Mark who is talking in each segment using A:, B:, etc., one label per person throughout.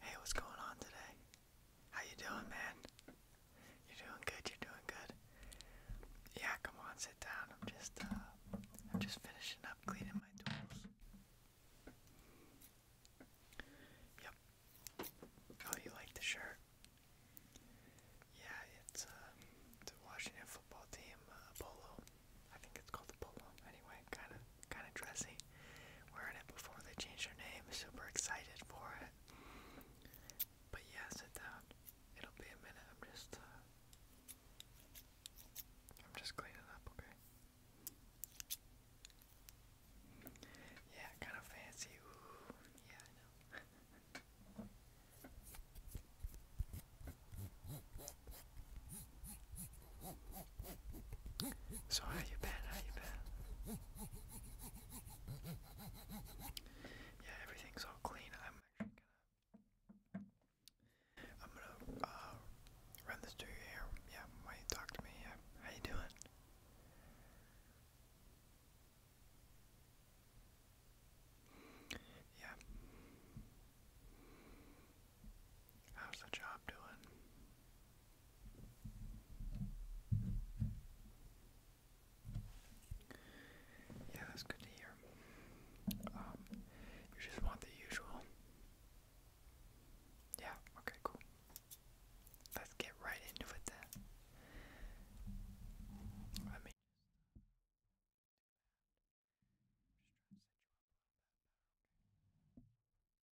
A: Hey, what's going on today? How you doing, man? You're doing good. You're doing good. Yeah, come on, sit down. I'm just, uh, I'm just finishing up cleaning my tools. Yep. Oh, you like the shirt? Yeah, it's uh, Washington football team uh, polo. I think it's called the polo. Anyway, kind of, kind of dressy were it before they changed their name. Super excited for it. But yeah, sit down. It'll be a minute. I'm just, uh, I'm just cleaning up, okay? Yeah, kind of fancy. yeah, I know. So how you been? How you been? Yeah, everything's all clean. I'm actually gonna I'm gonna uh run this through your hair. Yeah, why you talk to me? Yeah. How you doing? Yeah. How's the job doing? Yeah, that's good to hear. Um, you just want the usual. Yeah, okay, cool. Let's get right into it then. I mean,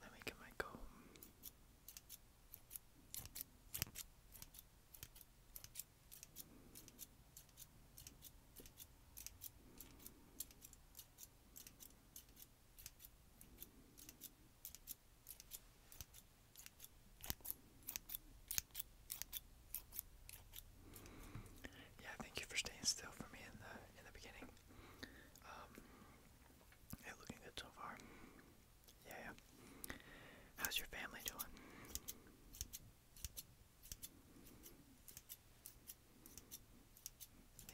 A: Let me get my comb. Yeah, thank you for staying still for me in the in the beginning. Um, looking good so far. Yeah, How's your family doing?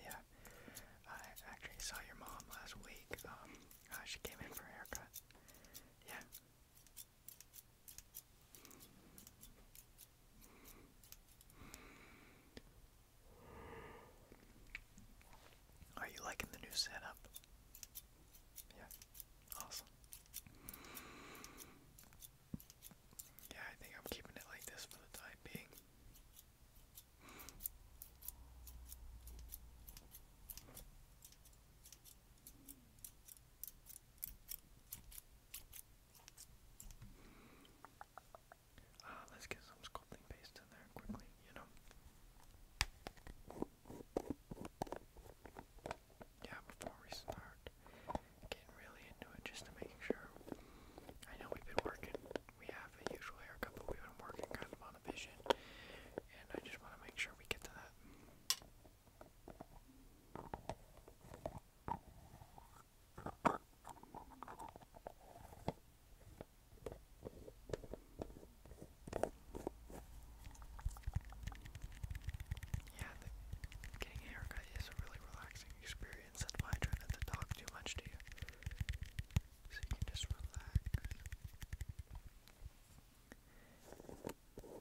A: Yeah, I actually saw your mom last week. Um, uh, she came in for a haircut. Yeah, are you liking the new setup? Yeah, awesome. Yeah, I think I'm keeping it like this for the time being. Uh, let's get some sculpting paste in there quickly, you know. Yeah, before we start getting really into it, just to make sure. I know we've been working, we have a usual haircut, but we've been working kind of on a vision, and I just want to make sure we get to that. Yeah, getting a haircut is a really relaxing experience. I try not to talk too much to you. So you can just relax.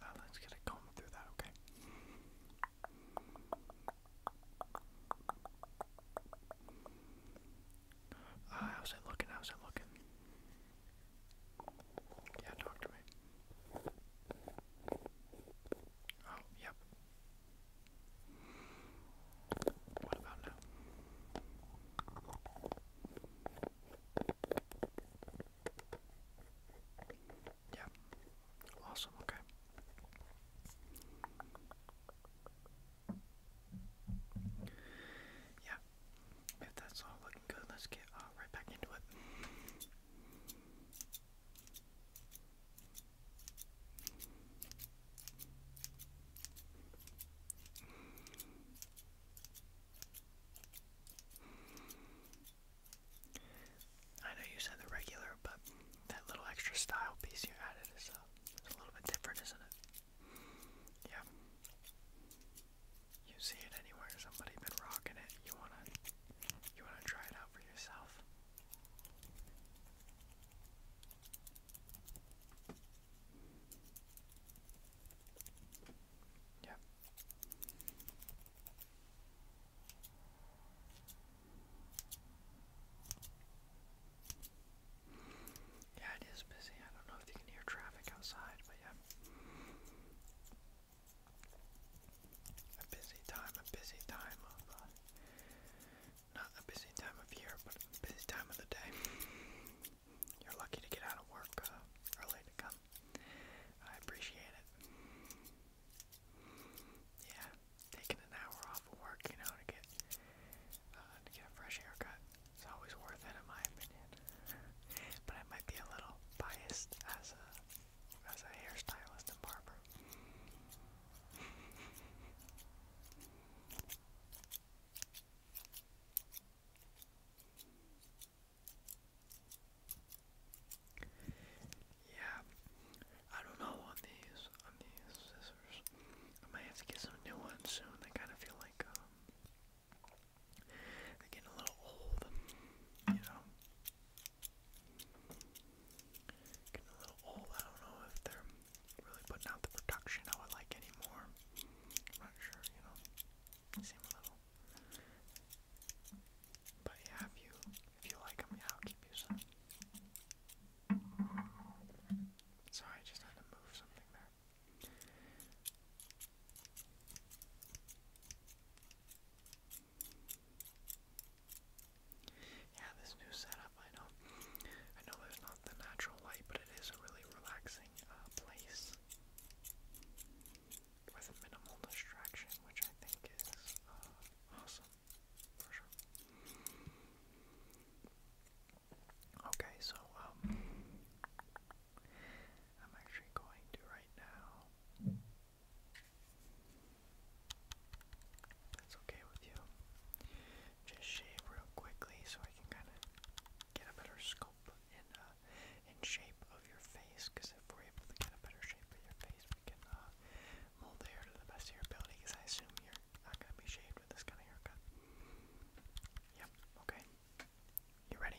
A: Uh, let's get a comb through that, okay? Ah, how's it looking? How's it looking? Yeah, talk to me. Oh, yep. What about now? Yeah. Awesome. Okay. Yeah. If that's all looking good, let's get uh, right back into it. I know you said the regular, but that little extra style piece you added is a, uh, is a little bit different, isn't it? Yeah. You see it anywhere, somebody been rocking it. You wanna you wanna try it out for yourself. Yep. Yeah, it is busy. I don't know if you can hear traffic outside, but yeah. A busy time, a busy time of, uh, not a busy time of year, but a busy time of the day. You're lucky to get out of work uh, early to come I appreciate it. Yeah, taking an hour off of work, you know, to get uh, get a fresh haircut is always worth it, in my opinion. but I might be a little biased as a as a hairstylist and barber. Yeah, I don't know on these on these scissors. I might have to get some new ones soon. They kind of feel like um, they're getting a little old, you know. Getting a little old. I don't know if they're really putting out the production how I like anymore. not sure, you know same level. But yeah, if you if you like them, yeah, I'll keep you some. Sorry, I just had to move something there. Yeah, this new setup, I know. I know there's not the natural light, but it is really relaxing relaxing uh, place with minimal distraction, which I think is uh, awesome Okay, so um, I'm actually going to right now. That's okay with you. Just shave real quickly so I can kind of get a better scope in uh, in shape of your face. Because if we're able to get a better shape of your face, we can uh, mold the hair to the best of your ability. Because I assume you're not gonna be shaved with this kind of haircut. Yep. Okay. You ready?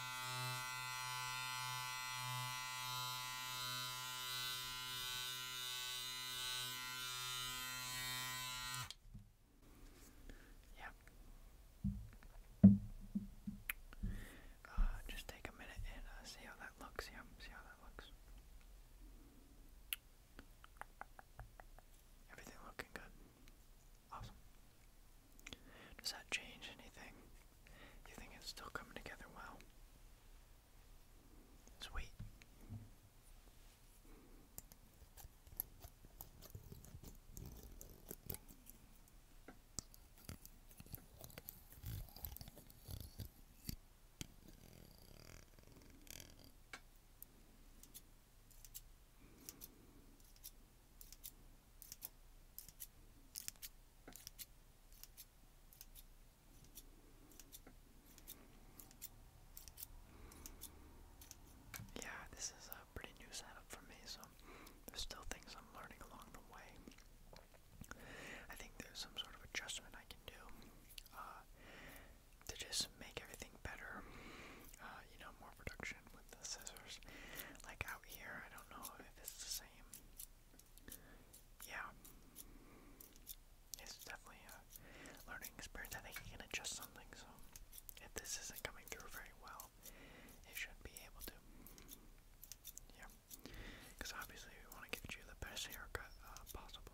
A: Yeah. Uh, just take a minute and uh, see how that looks. Yeah, see how that looks. Everything looking good. Awesome. Does that change anything? You think it's still coming together well? Sweet. Yeah, this is a pretty new setup for me, so there's still things I'm learning along the way. I think there's some sort of adjustment I can do uh, to just make everything better, uh, you know, more production, motion with the scissors. Like out here, I don't know if it's the same. Yeah. It's definitely a learning experience. I think you can adjust something, so if this isn't coming through very well, it should be able to. Yeah. Because obviously, we want to give you the best haircut uh, possible.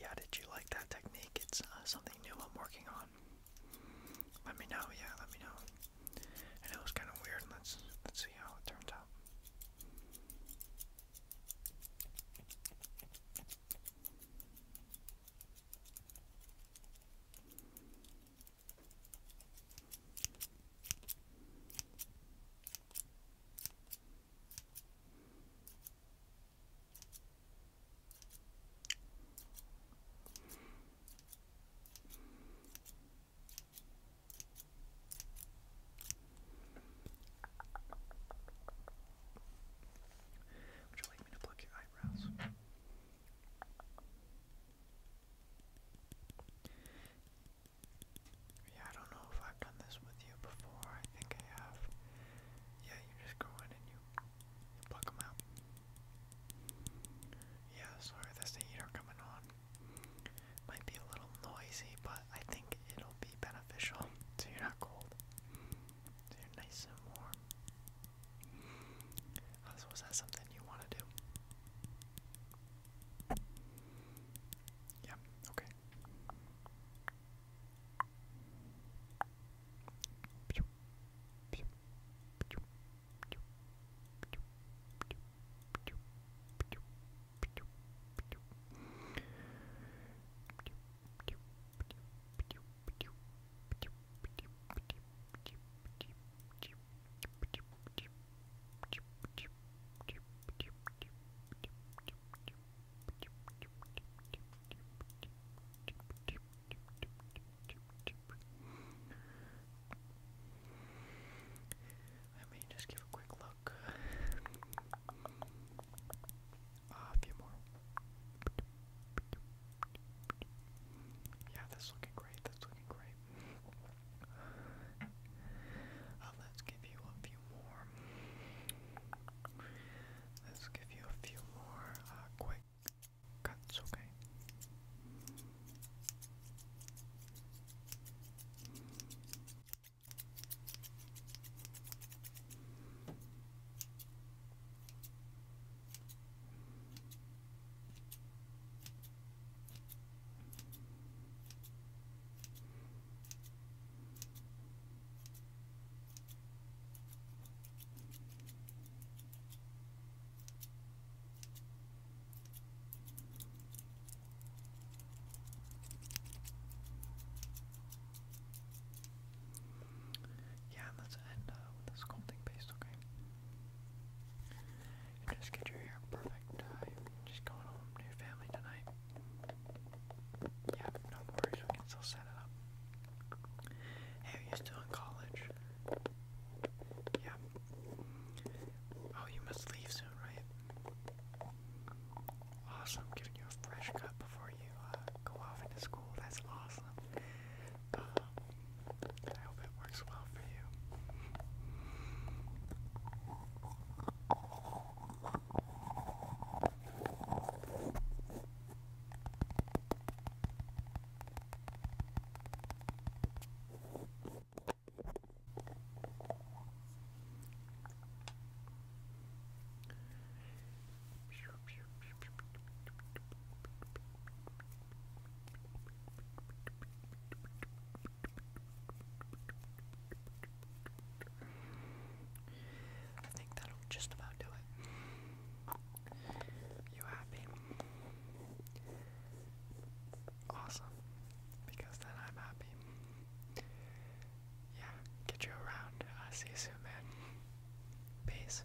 A: Yeah, did you like that technique? It's uh, something new I'm working on. Let me know, yeah, let me know. I know it's kind of weird. Let's let's see how it turns out. Would you like me to pluck your eyebrows? Yeah, I don't know if I've done this with you before. I think I have. Yeah, you just go in and you, you them out. Yeah, sorry, the heater coming on. Might be a little noisy, but I think it'll be beneficial so you're not cold. So you're nice and warm. So is that something you want to do? Yeah, okay. Let me just give a quick look. Uh, a few more. Yeah, that's looking great. That's looking great. Uh, let's give you a few more. Let's give you a few more uh, quick cuts, Okay, yeah, let's end uh, with a sculpting okay? And just get your hair perfect. just going home to family tonight. Yeah, no worries, we can still set it up. Hey, you still in college? Yeah. Oh, you must leave soon, right? Awesome, giving you a fresh cut before you uh, go off into school. That's awesome. Um, I hope it works well for you. I think that'll just about do it. You happy? Awesome. Because then I'm happy. Yeah, get you around. I uh, see you soon, man. Peace.